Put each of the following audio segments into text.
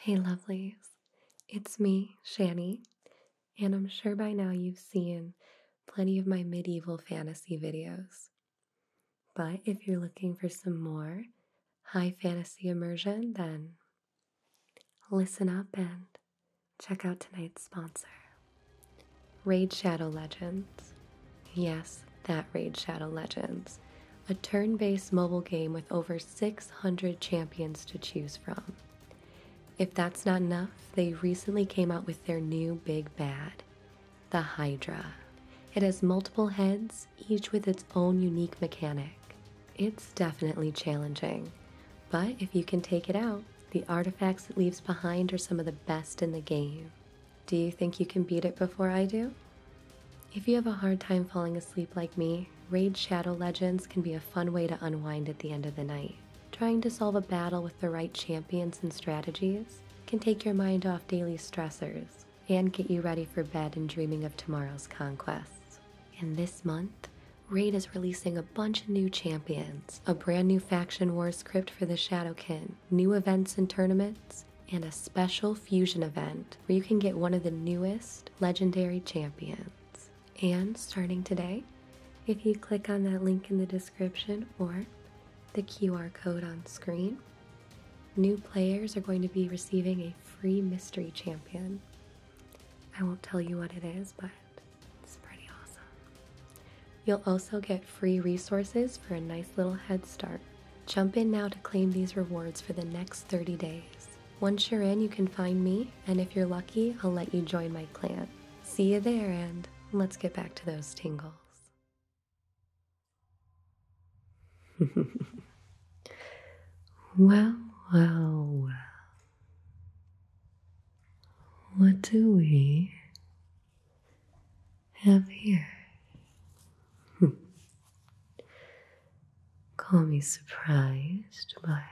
Hey, lovelies, it's me, Shani, and I'm sure by now you've seen plenty of my medieval fantasy videos. But if you're looking for some more high fantasy immersion, then listen up and check out tonight's sponsor Raid Shadow Legends. Yes, that Raid Shadow Legends, a turn based mobile game with over 600 champions to choose from. If that's not enough, they recently came out with their new big bad, the Hydra. It has multiple heads, each with its own unique mechanic. It's definitely challenging, but if you can take it out, the artifacts it leaves behind are some of the best in the game. Do you think you can beat it before I do? If you have a hard time falling asleep like me, Raid Shadow Legends can be a fun way to unwind at the end of the night. Trying to solve a battle with the right champions and strategies can take your mind off daily stressors and get you ready for bed and dreaming of tomorrow's conquests. And this month, Raid is releasing a bunch of new champions, a brand new faction war script for the Shadowkin, new events and tournaments, and a special fusion event where you can get one of the newest legendary champions. And starting today, if you click on that link in the description or the QR code on screen, New players are going to be receiving a free mystery champion. I won't tell you what it is, but it's pretty awesome. You'll also get free resources for a nice little head start. Jump in now to claim these rewards for the next 30 days. Once you're in, you can find me, and if you're lucky, I'll let you join my clan. See you there, and let's get back to those tingles. well, well, well. What do we have here? Call me surprised, but I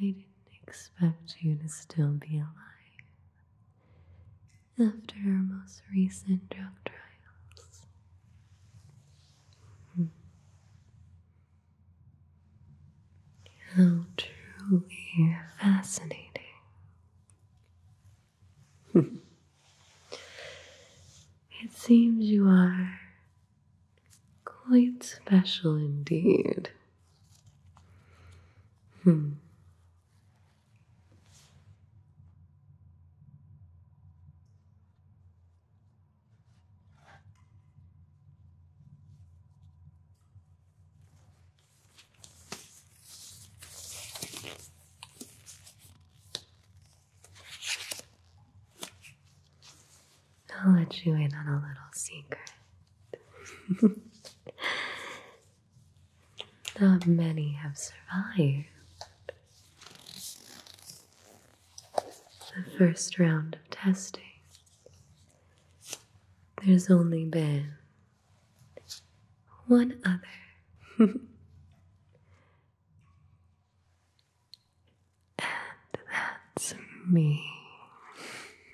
didn't expect you to still be alive after our most recent drug trials. Hmm. How truly fascinating. it seems you are quite special indeed. Hmm. I'll let you in on a little secret. Not many have survived. The first round of testing. There's only been one other. and that's me.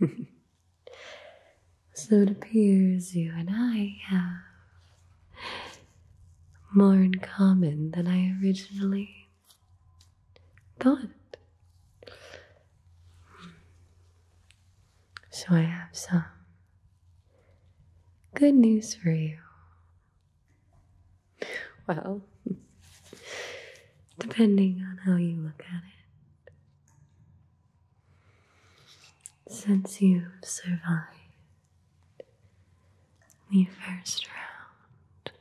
So it appears you and I have more in common than I originally thought. So I have some good news for you. Well, depending on how you look at it. Since you survived the first round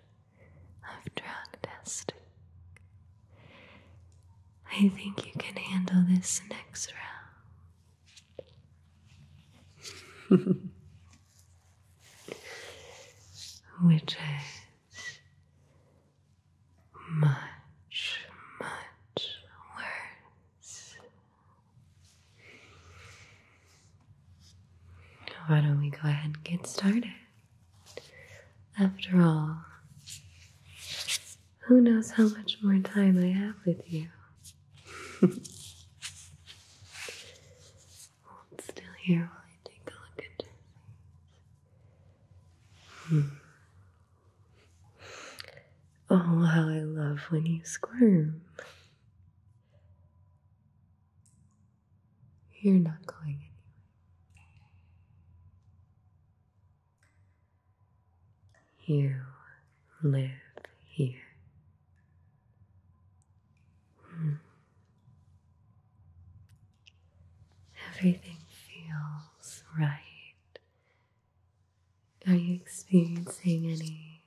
of drug testing, I think you can handle this next round. Which is much, much worse. Why don't we go ahead and get started? After all, who knows how much more time I have with you? still here while I take a look at your face. Hmm. Oh, how I love when you squirm. You're not going anywhere. You live here. Hmm. Everything feels right are you experiencing any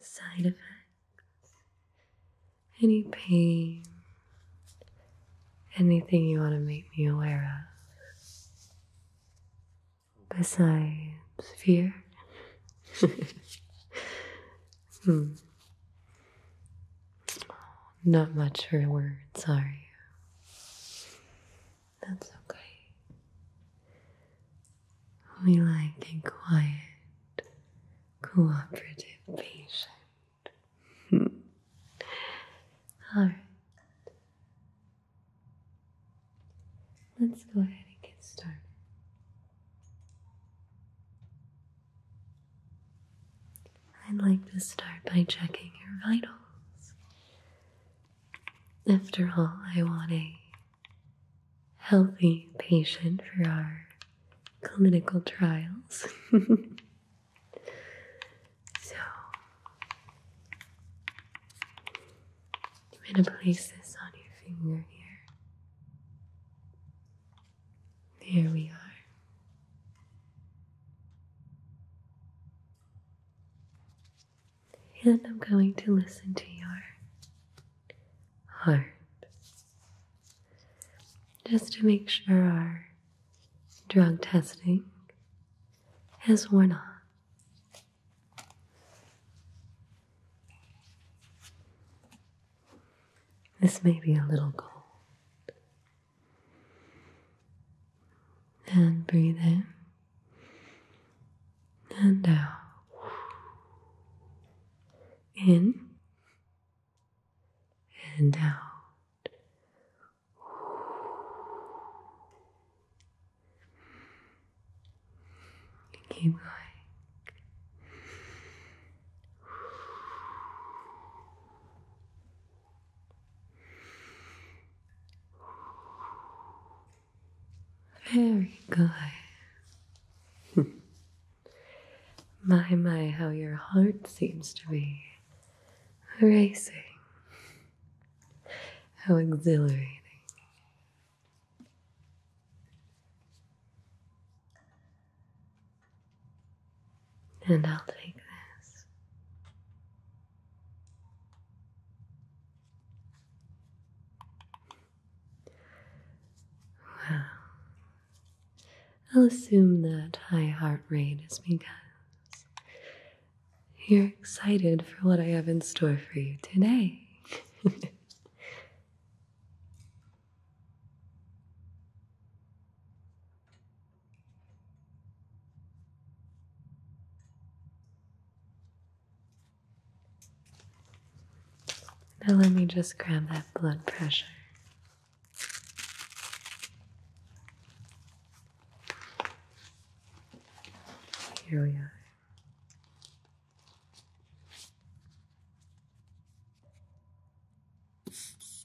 side effects? Any pain? Anything you want to make me aware of? Besides fear? Hmm not much for words, Sorry, That's okay. We like a quiet, cooperative patient. All right. Let's go ahead and get started. I'd like to start by checking your vitals. After all, I want a healthy patient for our clinical trials. so, I'm going to place this on your finger here. There we are. And I'm going to listen to your heart just to make sure our drug testing has worn off. This may be a little cold, and breathe in and out. In and out. Keep going. Very good. my, my, how your heart seems to be racing. How exhilarating and I'll take this. Well, I'll assume that high heart rate is because you're excited for what I have in store for you today. Now, let me just grab that blood pressure. Here we are.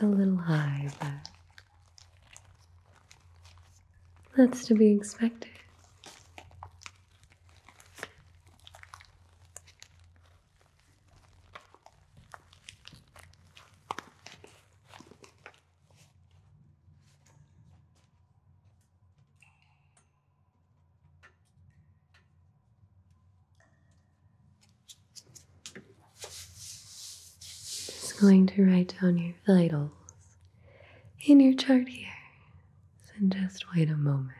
a little high, but that's to be expected. Just going to write down your vitals in your chart here. so just wait a moment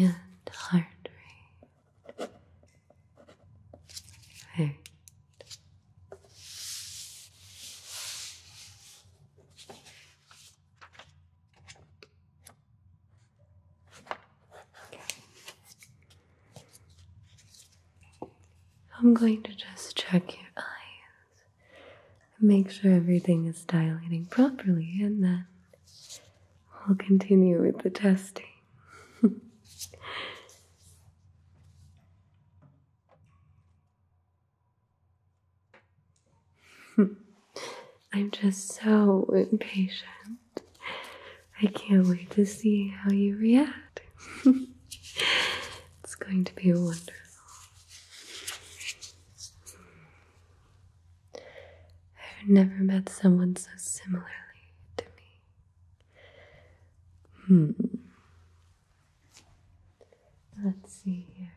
and heart rate. Right. I'm going to just check your eyes make sure everything is dilating properly, and then we'll continue with the testing. I'm just so impatient. I can't wait to see how you react. it's going to be wonderful. I've never met someone so similarly to me. Hmm. Let's see here.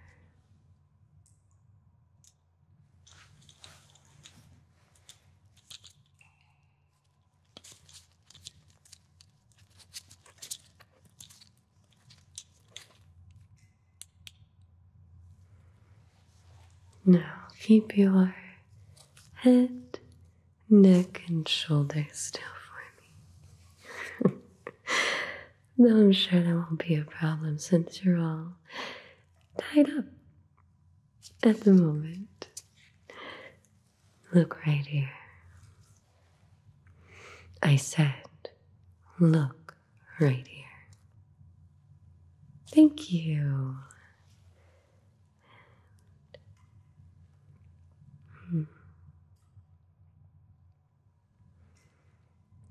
Now keep your head, neck, and shoulders still for me. Though I'm sure that won't be a problem since you're all tied up at the moment. Look right here. I said, look right here. Thank you. Hmm.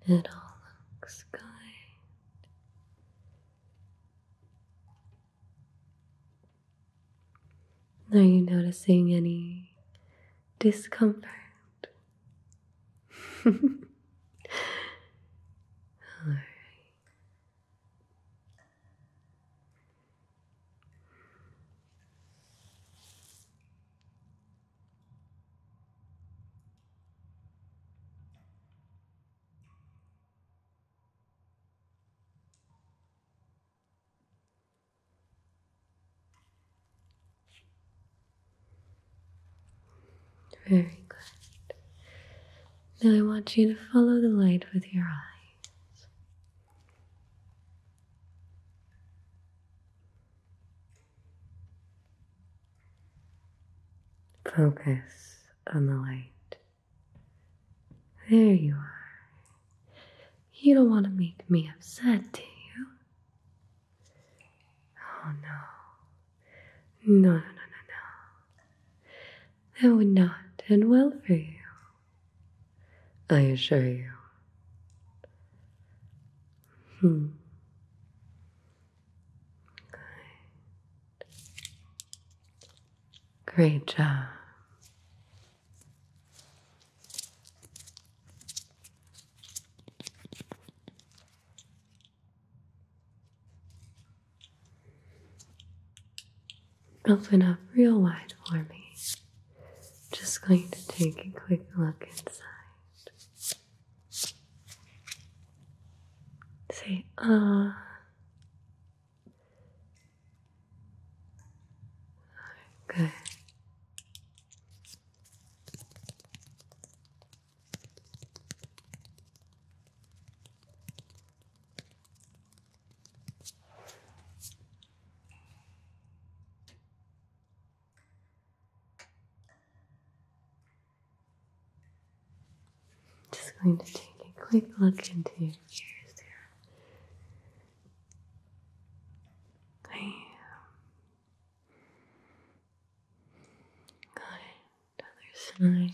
It all looks good. Are you noticing any discomfort? all right. Very good. Now I want you to follow the light with your eyes. Focus on the light. There you are. You don't want to make me upset, do you? Oh no. No, no, no, no, That would not end well for you. I assure you. Hmm. Great job. Open up real wide for me. Just going to take a quick look inside. Say, ah, Good. Just going to take a quick look into your ears there. I um, got it. side. And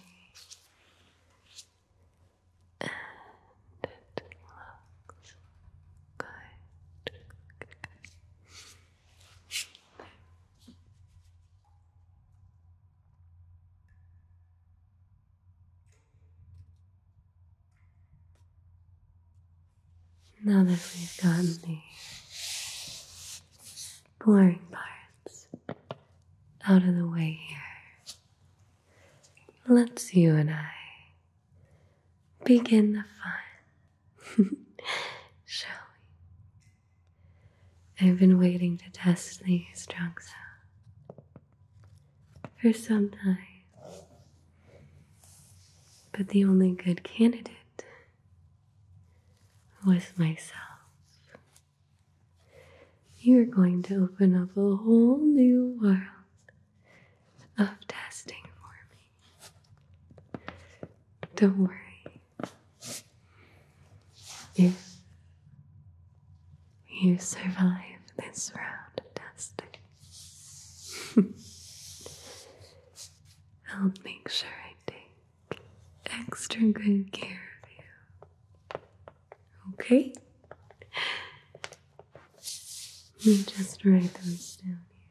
it now that we've gotten the boring parts out of the way here, let's you and I begin the fun, shall we? I've been waiting to test these drugs for some time. But the only good candidate was myself. You're going to open up a whole new world of testing for me. Don't worry. If you survive this round of testing, I'll make sure I take extra good care of you. Okay? Let me just write those down here.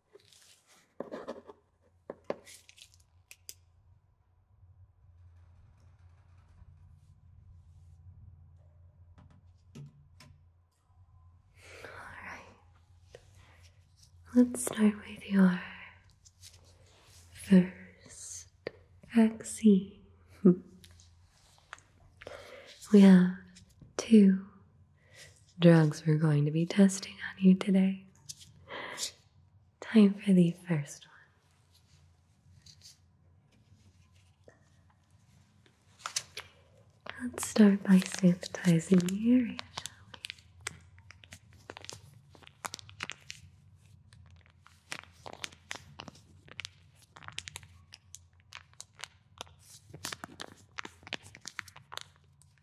right. Let's start with your first vaccine. we have two drugs we're going to be testing on you today. Time for the first one. Let's start by sanitizing the area, shall we?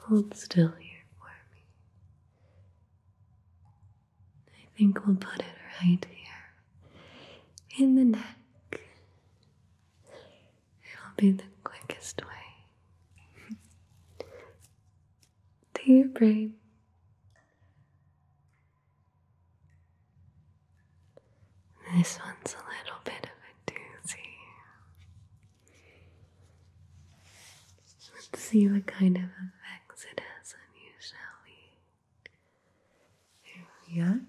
Hold still here for me. I think we'll put it right here in the neck. It will be the quickest way to your brain. This one's a little bit of a doozy. Let's see what kind of effects it has on you, shall we? Here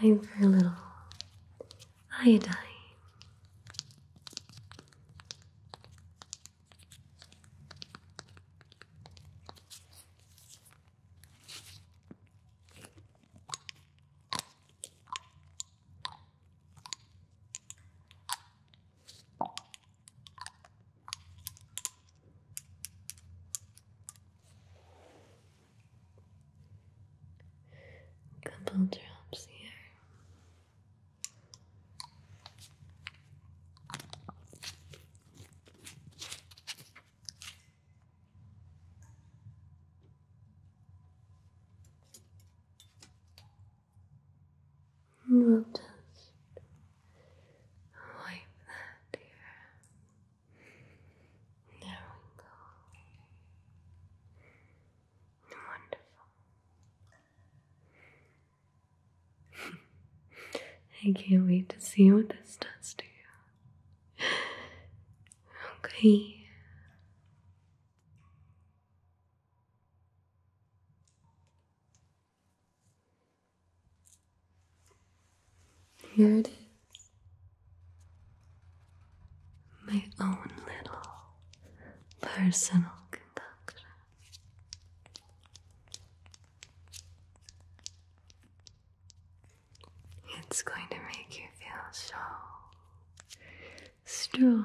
Time for a little iodine. Couple drops here. And we'll just wipe that here. There we go. Wonderful. I can't wait to see what this does to you. Okay. Here it is. My own little personal concoction. It's going to make you feel so strong.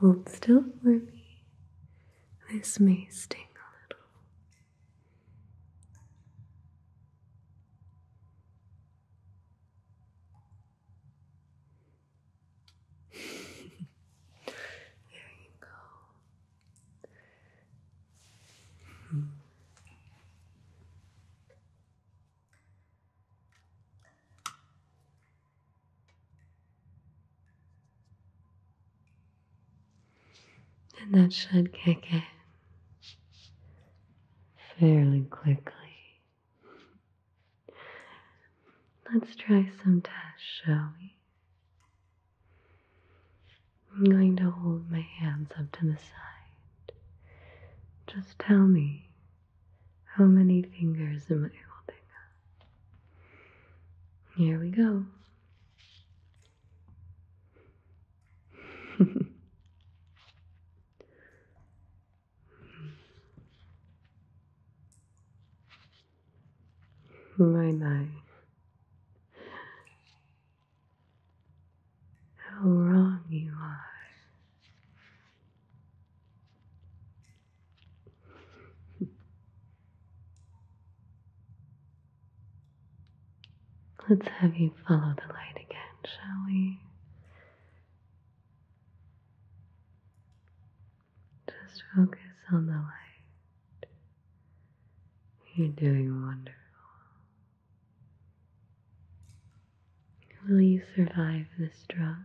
Hold still for me. This may sting a little. there you go. And that should kick it fairly quickly. Let's try some tests, shall we? I'm going to hold my hands up to the side. Just tell me how many fingers am I holding Here we go. My, my. How wrong you are. Let's have you follow the light again, shall we? Just focus on the light. You're doing wonderful. Will you survive this drug?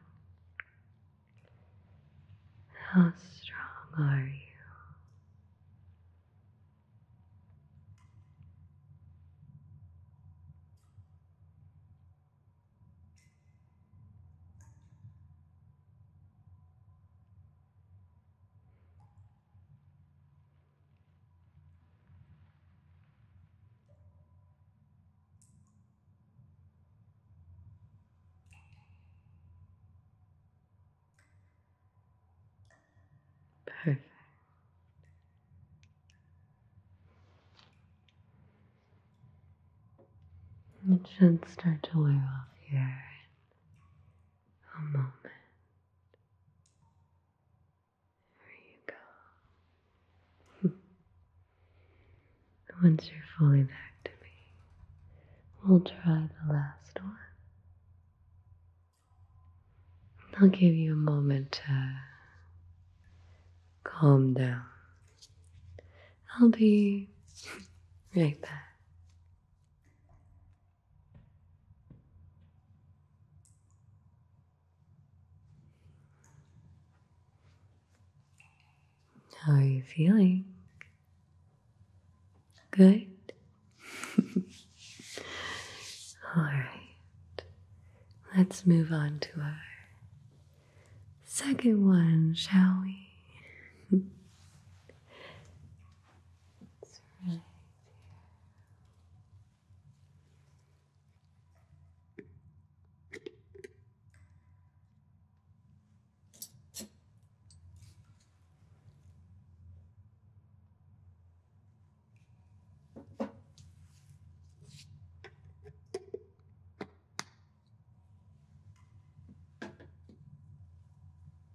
How strong are you? Perfect. It should start to wear off here a moment. There you go. Hmm. Once you're fully back to me, we'll try the last one. I'll give you a moment to calm down. I'll be right back. How are you feeling? Good. All right, let's move on to our second one, shall we? It's right here.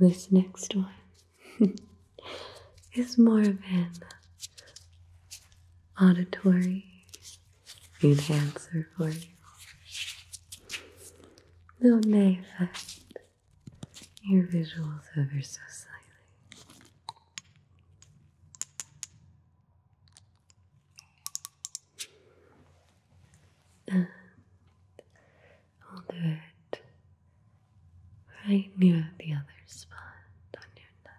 This next one is more of an auditory enhancer for you. Though it may affect your visuals ever so slightly. And right near the other spot on your neck.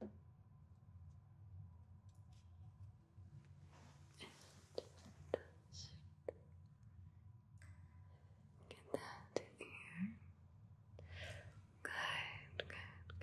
And just get that in here. Good, good, good.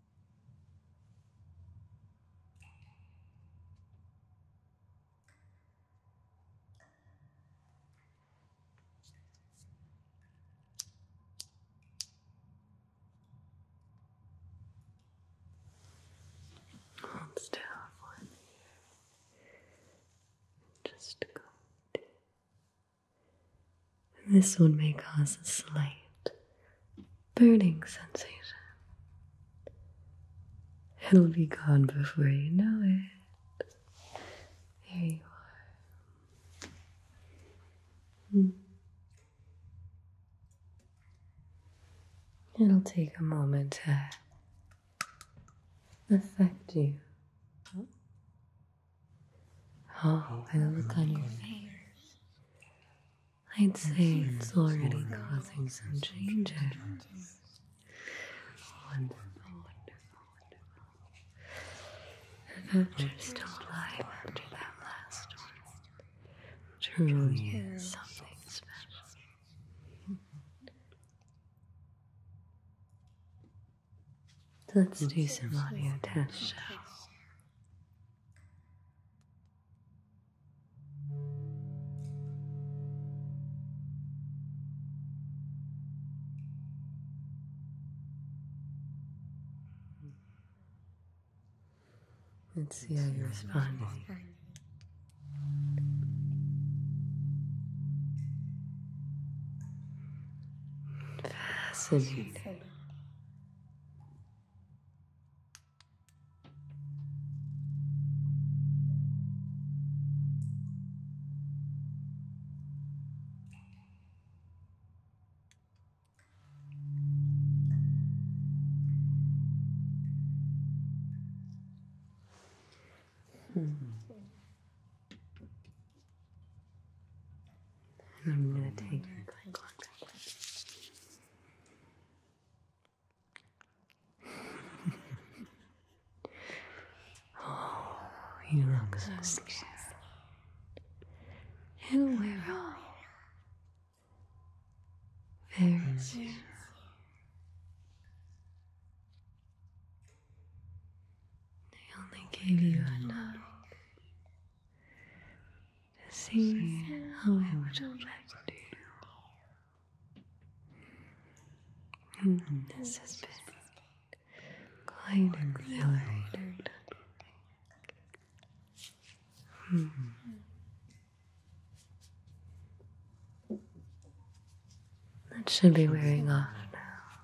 still for me just go. This one may cause a slight burning sensation. It'll be gone before you know it. There you are. Hmm. It'll take a moment to affect you. Oh, and look on your face. I'd say it's already causing some changes. Wonderful, wonderful, wonderful. alive after that last one. Truly something special. Let's do some audio tests, Let's see how you respond. Fascinating. Hmm. And I'm going to take my contact oh, you look so scared. And we're all very soon. They only gave you a to see how I would affect to. And this has been quite exhilarating. Mm That should be wearing off now.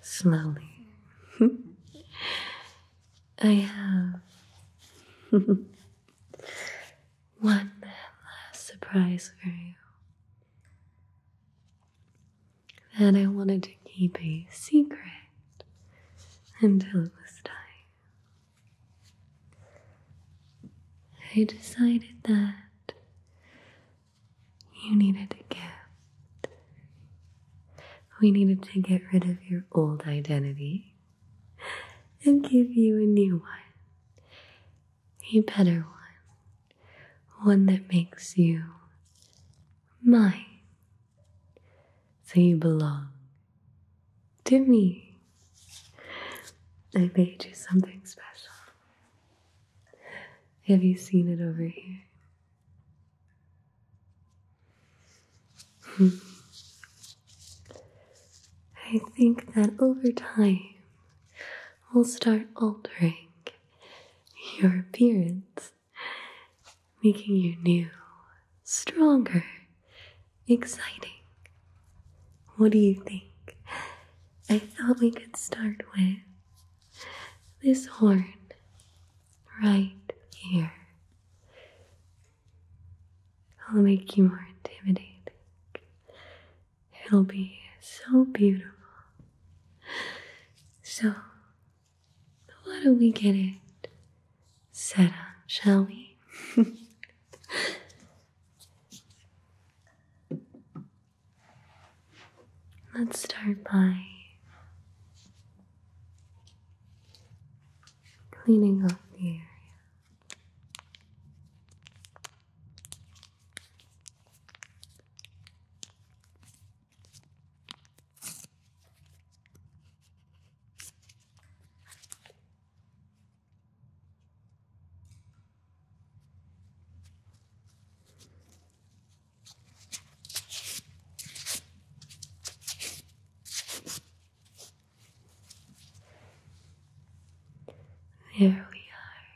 Slowly. I have one last surprise for you that I wanted to keep a secret until it was time. I decided that you needed a gift. We needed to get rid of your old identity and give you a new one, a better one, one that makes you mine. So you belong to me. I made you something special. Have you seen it over here? Hmm. I think that over time we'll start altering your appearance, making you new, stronger, exciting. What do you think? I thought we could start with this horn right here. It'll make you more intimidating. It'll be so beautiful. So, why don't we get it set up, shall we? Let's start by cleaning up the area. There we are.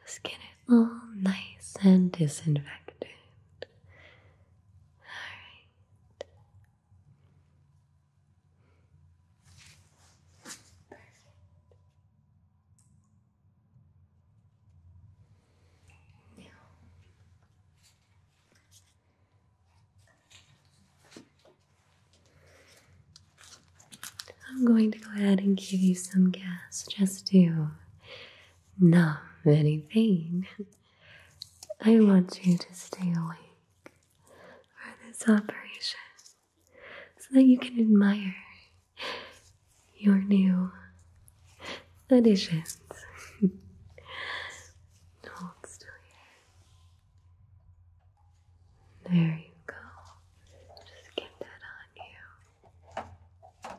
Let's get it all nice and disinfected. Perfect. Now, I'm going to go ahead and give you some gas just to numb any pain. I want you to stay awake for this operation so that you can admire your new additions. Hold still There you go. Just get that on you.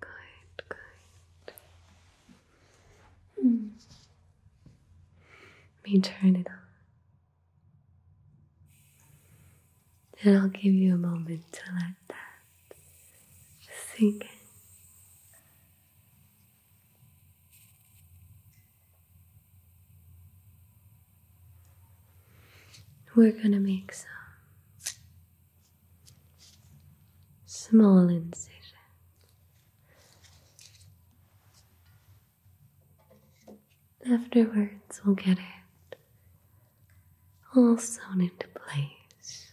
Good, good. Let me turn it on. And I'll give you a moment to let that sink we're going to make some small incision. Afterwards, we'll get it all sewn into place.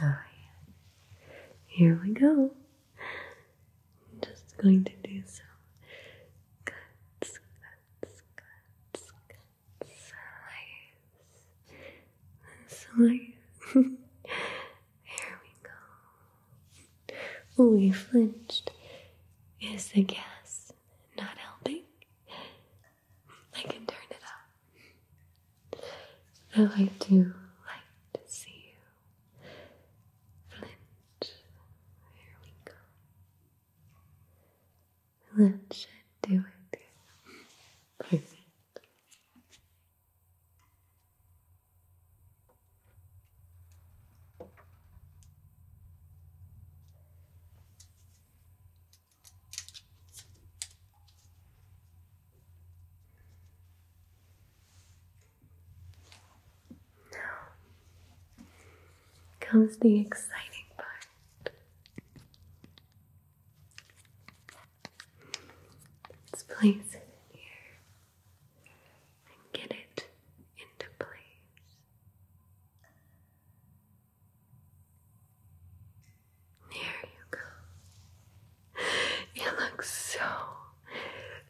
Nine. Here we go. just going to do some cuts, cuts, cuts, cuts. Right Sorry. there we go. Oh, you flinched. Is the gas not helping? I can turn it up. I do like to see you flinch. There we go. That should do it. Now comes the exciting part. Let's place it here and get it into place. There you go. It looks so,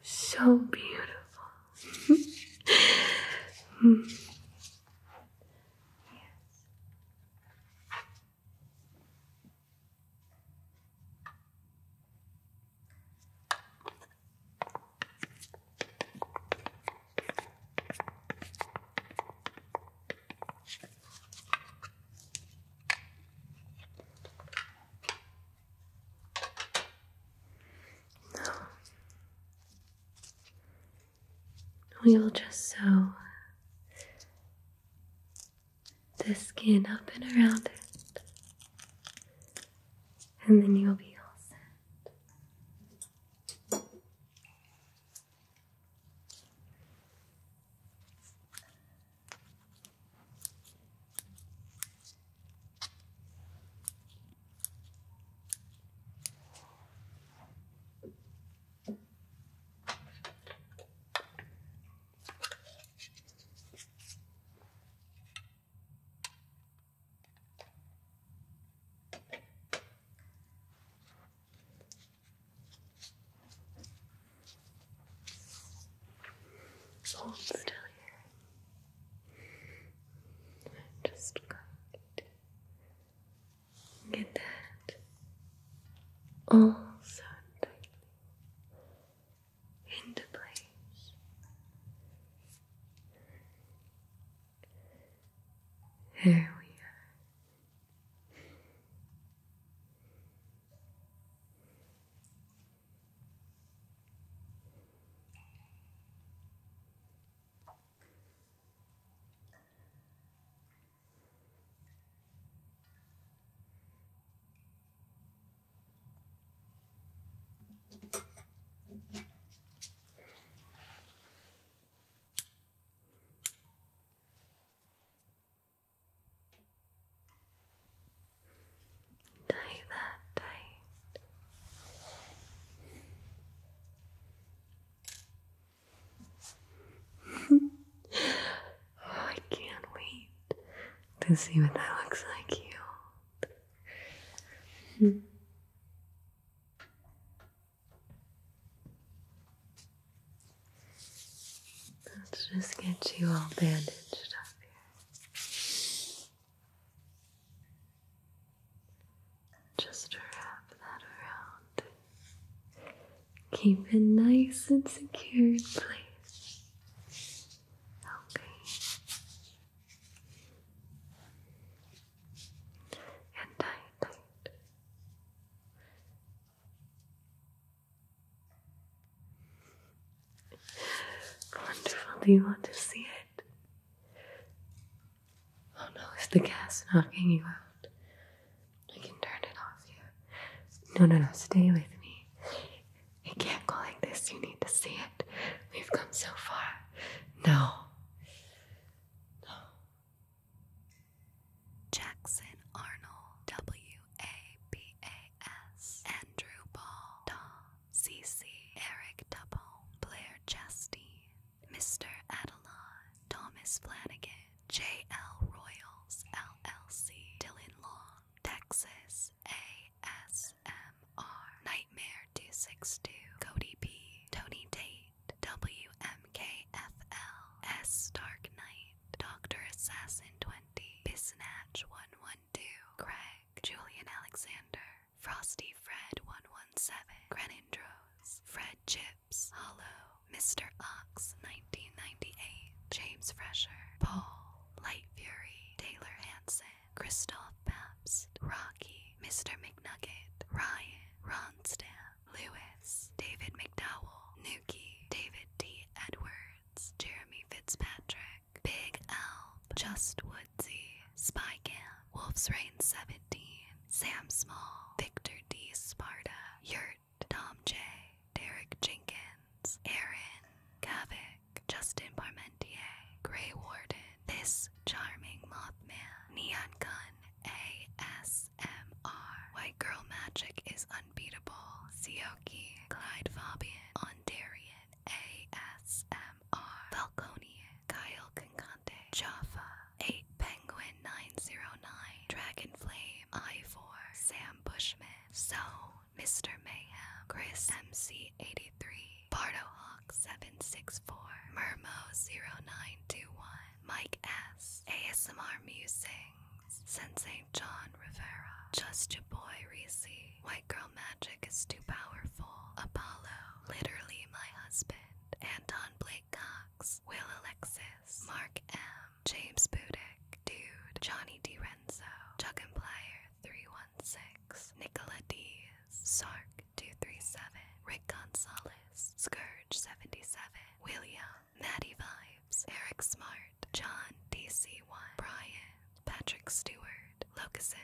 so beautiful. Hmm. Yes. We will just sew the skin up and around it, and then you'll be all set. Hold still here. just going get that all so into place. Here we are. Tie that tight. Oh, I can't wait to see what that looks like you. Let's just get you all bandaged up here. Just wrap that around Keep it nice and secure in place. Okay. And tight, tight. Wonderful. Do you want to see it? Oh no, is the gas knocking you out? I can turn it off you. No, no, no, stay with me. It can't go like this. You need to see it. We've come so far. No. No. Jackson Arnold, W A B A S, Andrew Ball, Daw, C C, Eric Double, Blair Chastain, Mr. Adelon, Thomas Flanagan, J.L. Royals, LLC, Dylan Long, Texas, ASMR, Nightmare 262, Cody B, Tony Tate, WMKFL, Dark Knight, Dr. Assassin 20, Bisnatch 112, Craig, Julian Alexander, Frosty Fred 117, Grenindros, Fred Chip, Hollow, Mr. Ox, 1998, James Fresher, Paul, Light Fury, Taylor Hansen, Christoph Pabst, Rocky, Mr. McNugget, Ryan, Ronstam, Lewis, David McDowell, Nuki, David D. Edwards, Jeremy Fitzpatrick, Big Alp, Just Woodsy, Spy Camp, Wolf's Rain 17, Sam Small, Victor D. Sparta, Yurt Tom J, Derek Jenkins, Aaron, Kavik, Justin Parmentier, Grey Warden, This Charming Mothman, Neon Gun, ASMR, White Girl Magic is Unbeatable, Sioki, Clyde Fabian, Ondarian, ASMR, Falconian, Kyle Concante, Jaffa, 8 Penguin, 90909, Dragonflame, I4, Sam Bushman, So, Mr. Mayhem, Chris MC83, BardoHawk764, Murmo0921, Mike S, ASMR Musings, Sensei John Rivera, Just Your Boy Reese, White Girl Magic is Too Powerful, Apollo, Literally My Husband, Anton Blake Cox, Will Alexis, Mark M. James Budick, Dude, Johnny DiRenzo, Chuck and Plier 316, Nicola Dees, Sark 237, Rick Gonzalez, Scourge 77, William, Natty Vibes, Eric Smart, John DC1, Brian, Patrick Stewart, Locuson.